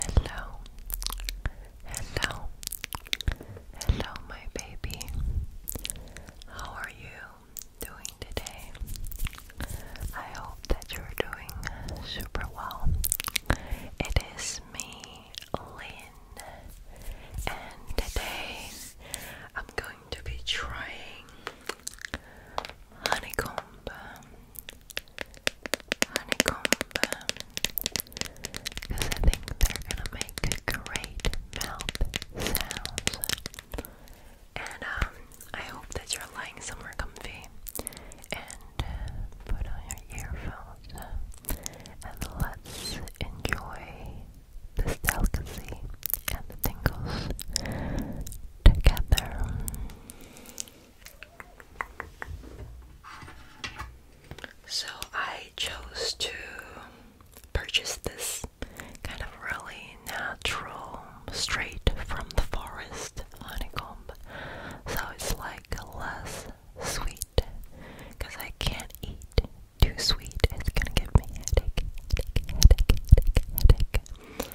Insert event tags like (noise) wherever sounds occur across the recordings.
Hello, hello, hello, my baby. How are you doing today? I hope that you're doing super well. It is me, Lynn, and today I'm going to be trying honeycomb, honeycomb, because I think they're gonna make great mouth And I hope that you're lying somewhere comfy and put on your earphones and let's enjoy this delicacy and the tingles together. So I chose to purchase this kind of really natural, straight from the forest honeycomb. So it's like less sweet because I can't eat too sweet. It's gonna give me headache, headache, headache, headache, headache.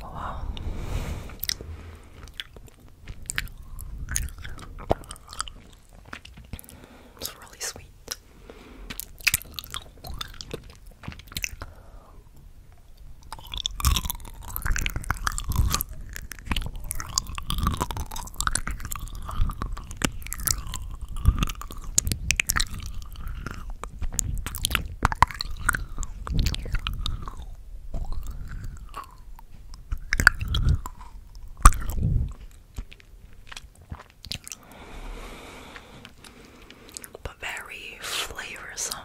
Wow. It's really sweet. But very flavorsome.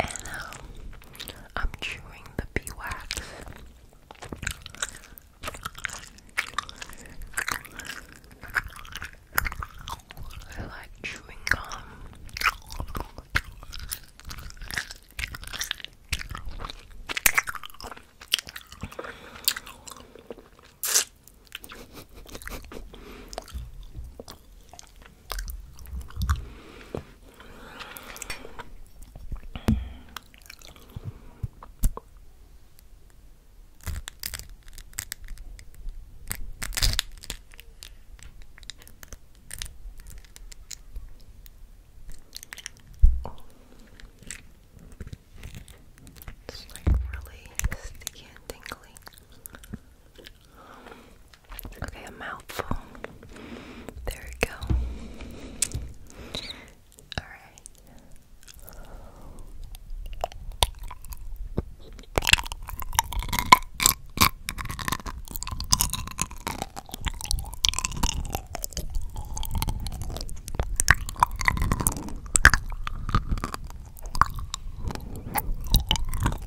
and um, I'm chewing the bee I like chewing gum. It's like really sticky and tingly. Okay, a mouthful. There we go. Alright.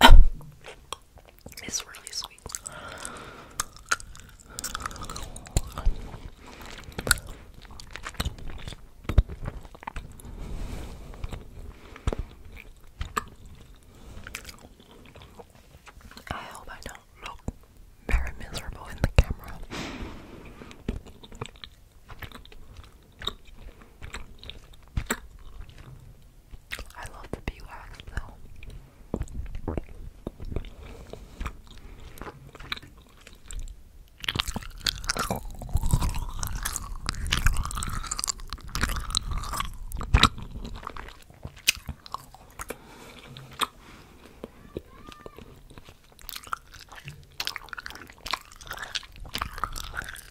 (coughs) it's really sweet. I hope I don't look very miserable in the camera. I love the beeswax though.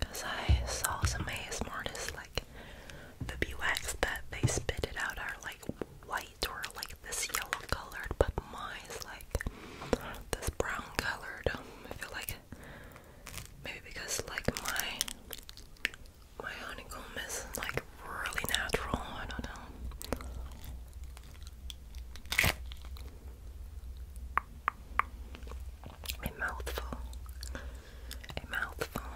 Cause I saw some ASMR artists like the wax that they spit it out are like white or like this yellow colored, but mine is like this brown colored. I feel like maybe because like my my honeycomb is like really natural. I don't know. A mouthful. A mouthful.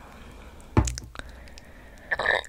Oops.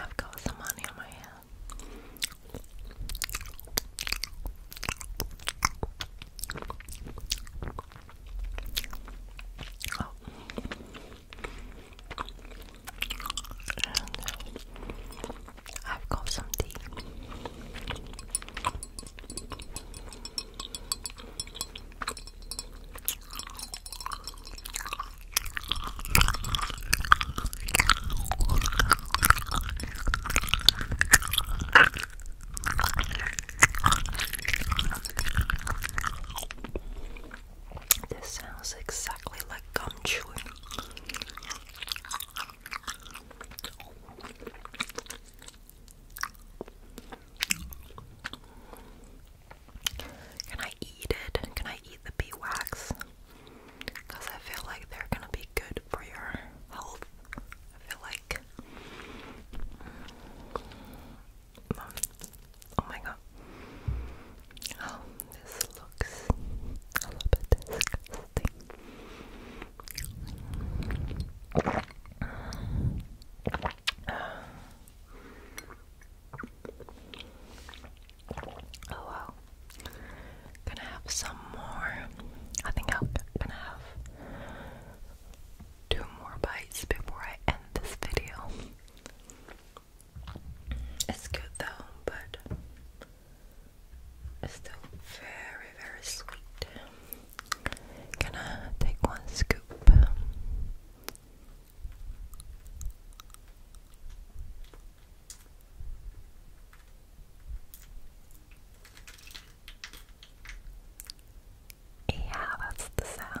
I've got some money on my hand. Oh. Uh, I've got some tea. This sounds exactly like gum chewing. Can I eat it? Can I eat the beeswax? Because I feel like they're gonna be good for your health. I feel like Oh my god. Oh, this looks a little bit disgusting. Oh wow. Gonna have some more. I think I'm gonna have two more bites before I end this video. It's good though, but it's still very, very sweet. Gonna take one scoop. Yeah, that's the sound.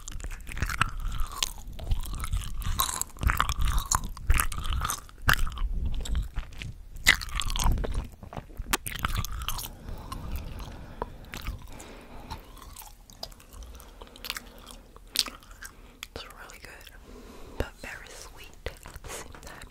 It's really good, but very sweet at the same time.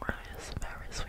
Rose is very sweet.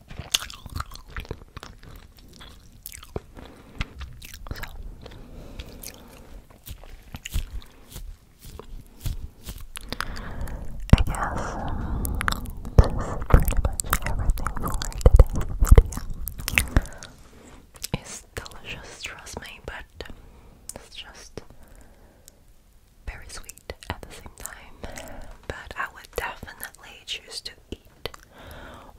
I guess um, this is pretty much everything for today's video. It's delicious, trust me, but it's just very sweet at the same time. But I would definitely choose to eat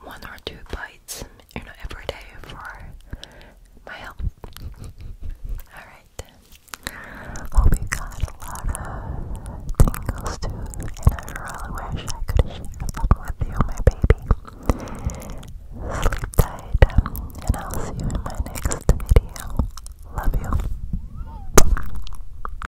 one or two bites, you know, every day for my health. (laughs) Alright. Hope you got a lot of tingles too, and I really wish I could share them with you, my baby. Sleep tight, and I'll see you in my next video. Love you.